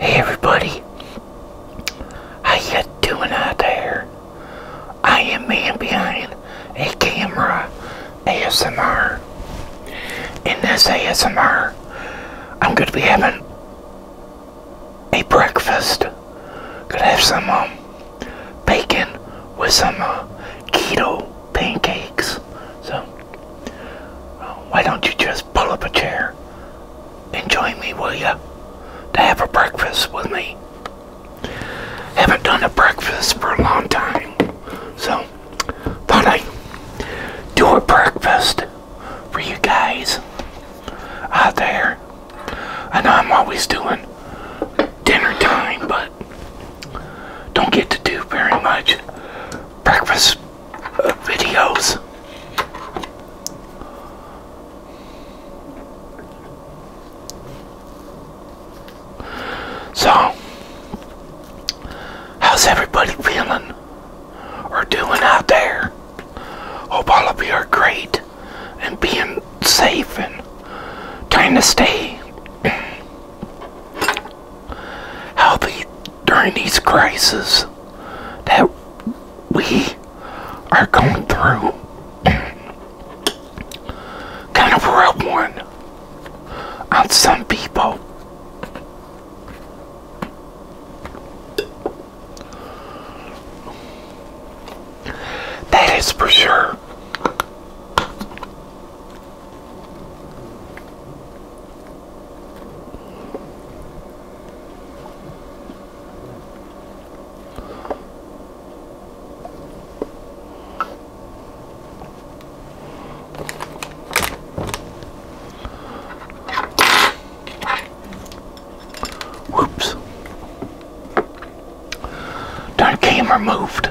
Hey everybody, how you doing out there? I am man behind a camera ASMR. In this ASMR, I'm going to be having a breakfast. Gonna have some um, bacon with some uh, keto pancakes. So. Why don't you just pull up a chair and join me, will you? To have a breakfast with me. Haven't done a breakfast for a long time, so thought I'd do a breakfast for you guys out there. I know I'm always doing dinner time, but don't get to do very much breakfast videos. So, how's everybody feeling or doing out there? Hope all of you are great and being safe and trying to stay how during these crises that we are going through kind of rub one on some people. That is for sure. Whoops. Done camera moved.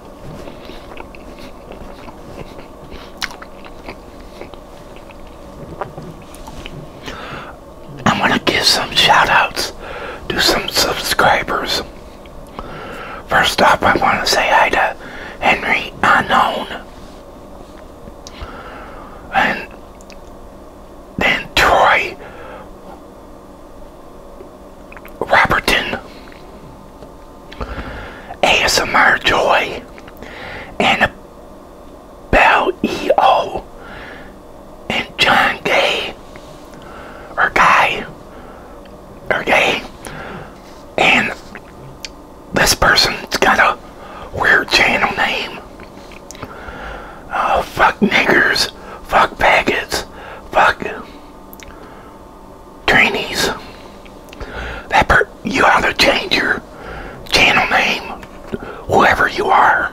I'm going to give some shout outs to some subscribers. First off, I want to say hi to Henry Unknown. And then Troy Roberton, ASMR Joy, and Bell EO, and John Gay, or Guy, or Gay, and this person's got a weird channel name. Uh, fuck niggers, fuck faggots, fuck trainees. That per you ought to change your channel name, whoever you are.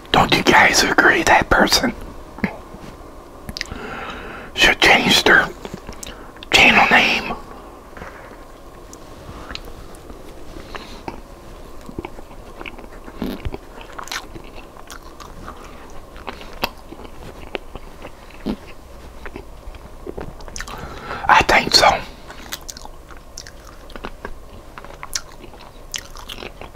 Don't you guys agree that person should change their channel name? I think so.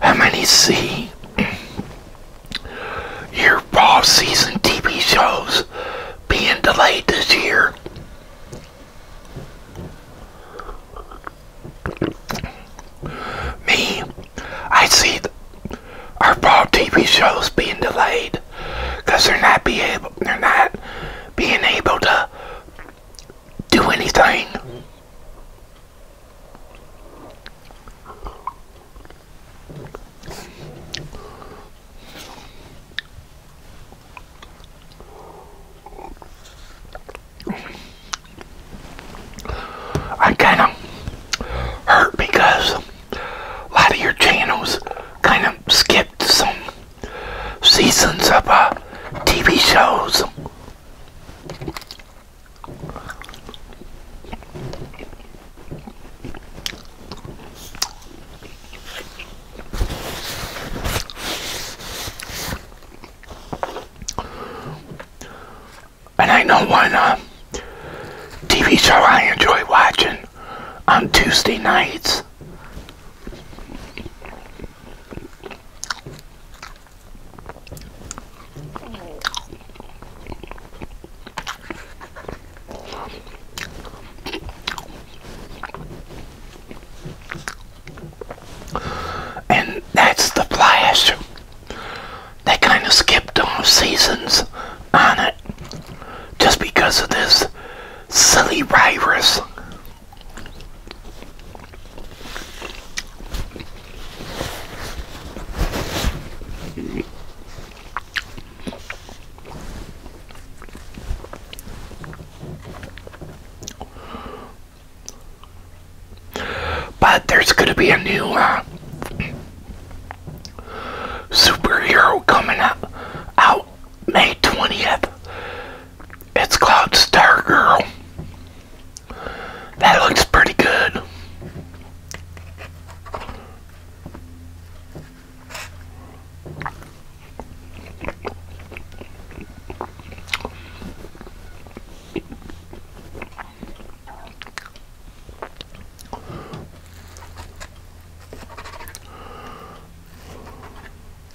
How many see your fall season TV shows being delayed this year? Me, I see our fall TV shows being delayed because they're not be able, they're not being able to do anything. I kind of hurt because a lot of your channels kind of skipped some seasons of uh, TV shows. And I know one uh, TV show I enjoy watching on Tuesday nights and that's the flash. They kind of skipped on seasons on it just because of this silly virus. But there's going to be a new uh, superhero coming up out May 20th. It's called Girl. That looks pretty good.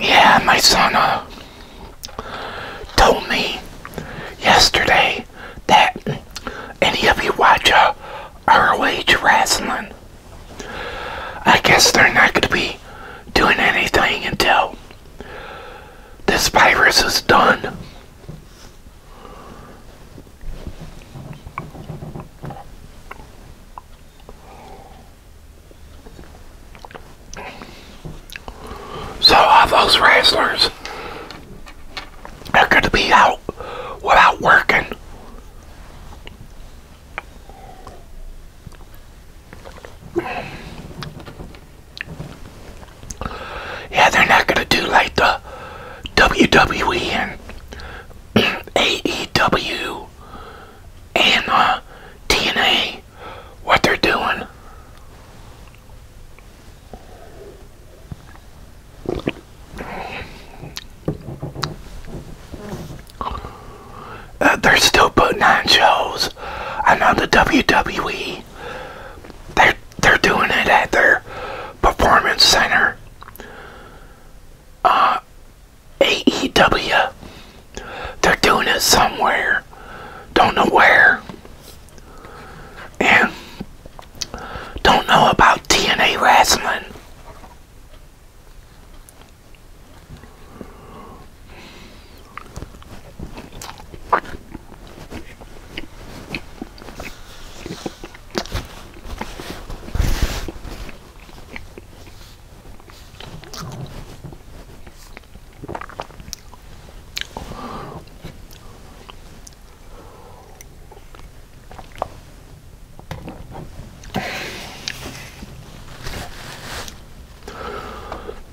Yeah, my son uh, told me yesterday that any of you watch uh, ROH wrestling. I guess they're not going to be doing anything until this virus is done. So all those wrestlers are going to be out without working. Yeah, they're not going to do like the WWE and AEW and the uh, TNA what they're doing. Uh, they're still putting on shows. I know the WWE. They're they're doing it at their performance center. Uh, AEW. They're doing it somewhere. Don't know where. And don't know about TNA wrestling.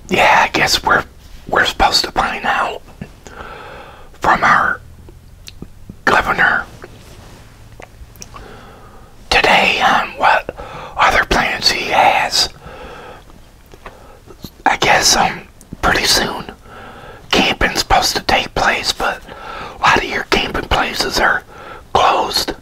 Yeah, I guess we're we're supposed to find out from our governor today on um, what other plans he has. I guess um, pretty soon camping's supposed to take place, but a lot of your camping places are closed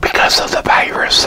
because of the virus.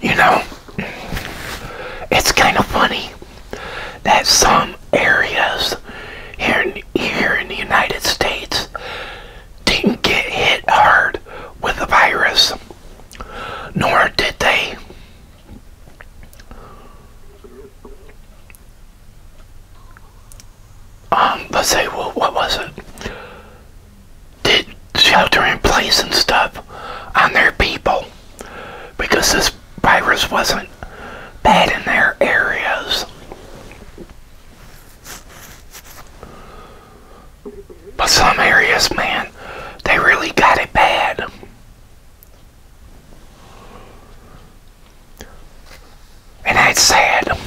You know, it's kind of funny that some areas here in, the United States didn't get hit hard with the virus, nor did they um, let's say, well, what was it? Did shelter in place and stuff on their people because this virus wasn't bad in their areas. But some areas, man, they really got it bad. And that's sad.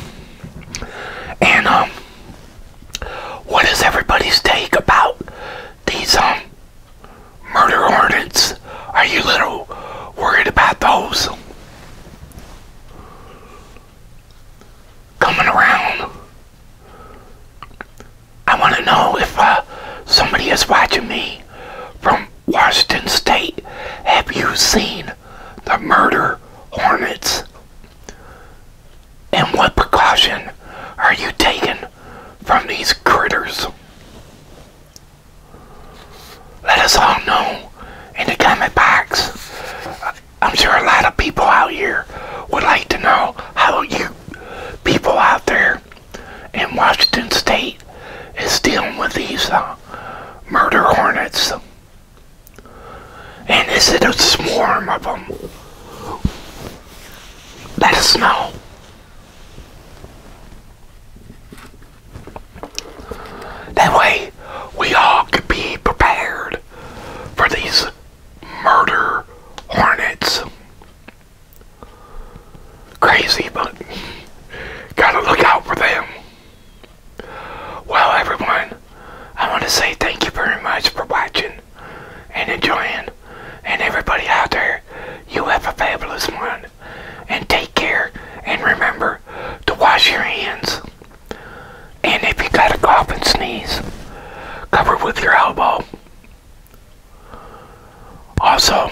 And, um, what is everybody's take about these, um, murder hornets? Are you little worried about those? Coming around. I want to know if, uh, somebody is watching me from Washington State. Have you seen the murder hornets. And what precaution are you taking from these critters? Let us all know in the comment box. I'm sure a lot of people out here would like to know how you people out there in Washington State is dealing with these uh, murder hornets. And is it a swarm of them? Let us know. That way, we all could be prepared for these murder hornets. Crazy, but gotta look out for them. Well, everyone, I want to say thank you very much for watching and enjoying. And everybody out there, you have a fabulous one. And take care and remember to wash your hands. And if you got a cough and sneeze, cover with your elbow. Also,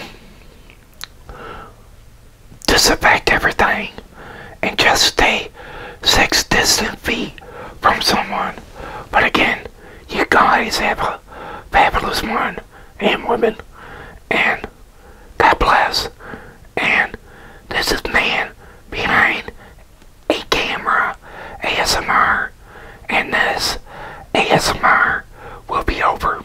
disinfect everything, and just stay six distant feet from someone. But again, you guys have a fabulous one, and women, and God bless. And this is man behind a camera ASMR, and this ASMR will be over.